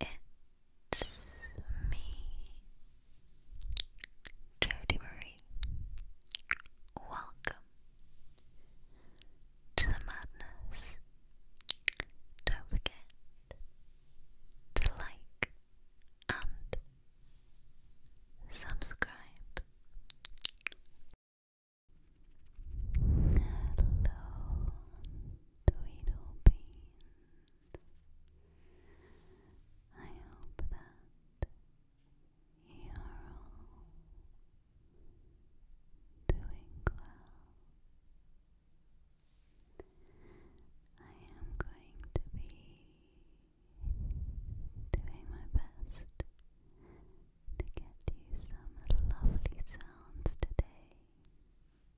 It's me, Jody Marie. Welcome to the madness. Don't forget to like and subscribe. Hello, twiddle beans. I hope that you're all doing well. I am going to be doing my best to get you some lovely sounds today.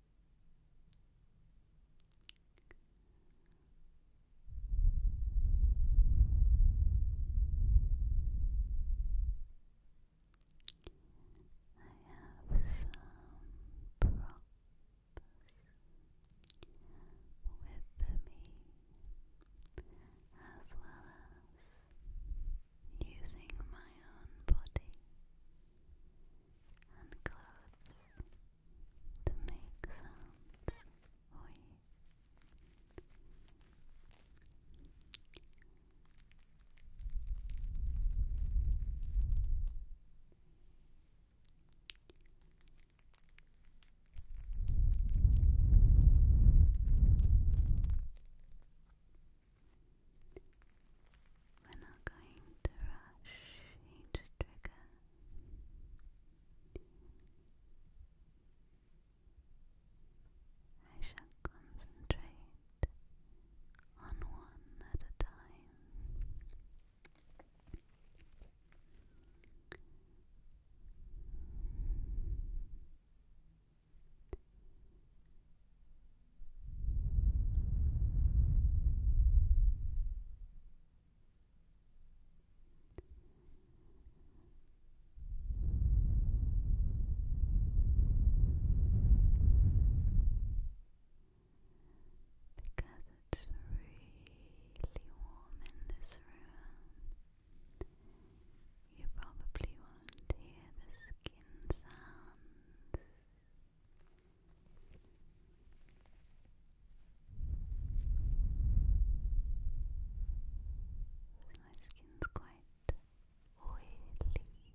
I have some props with me as well as using my own body and clothes to make sounds for you. We're not going to rush each trigger. I shall concentrate on one at a time. Because it's really warm in this room, you probably won't hear the skin sounds. So my skin's quite oily in the heat.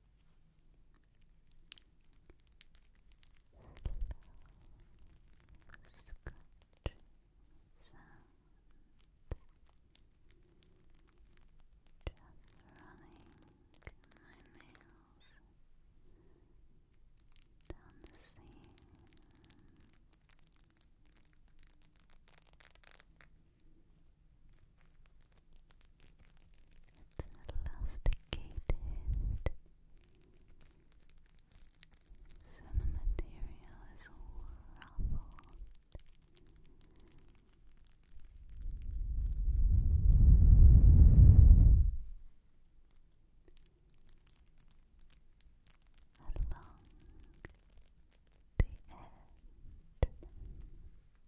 Scratch sound just running my nails down the seam it's elasticated, so the material is ruffled. Along the edge.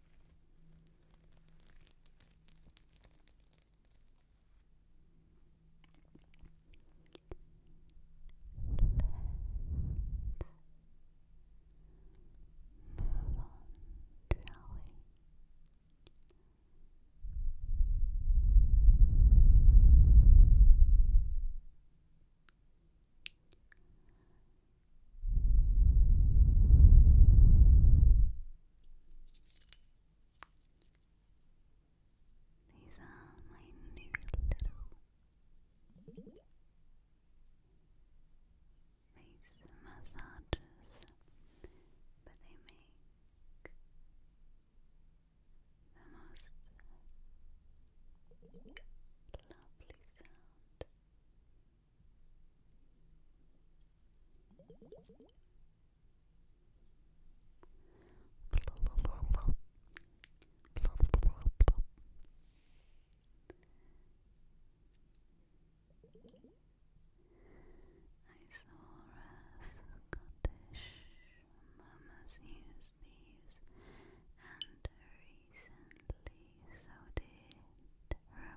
Move on, shall we? Relax. These are my new little face massages, but they make the most lovely sound. I saw a Scottish mamas use and recently, so did Rapunzel I have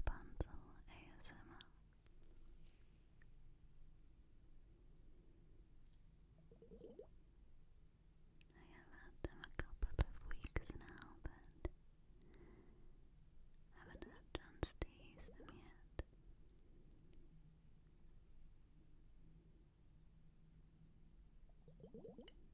had them a couple of weeks now, but haven't had chance to use them yet.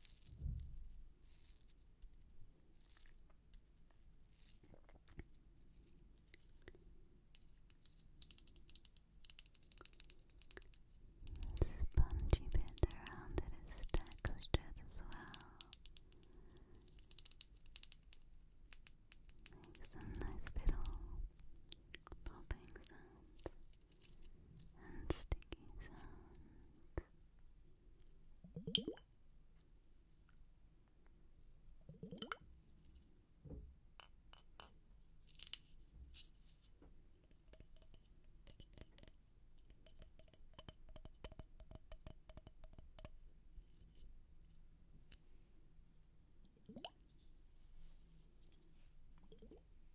The spongy bit around it is textured as well. some nice little popping sounds and sticky sounds.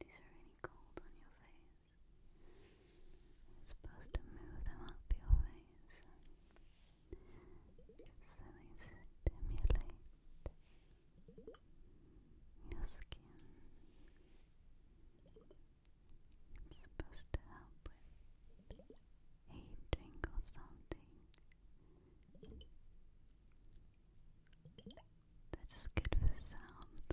These are really cold on your face. i supposed to move them up your face so they stimulate your skin. It's supposed to help with a or something. they just good for sounds.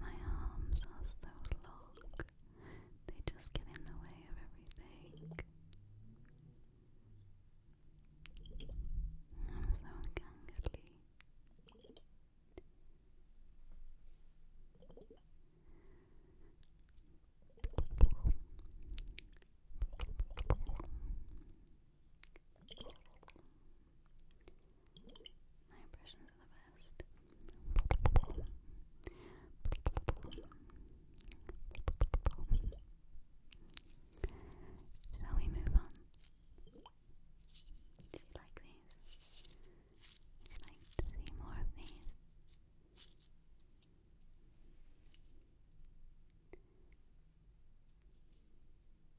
My arms are so long, they just get in the way of everything. I'm so gangly. My impressions are the best. Shall we move on? Do you these? Would you to see more of these?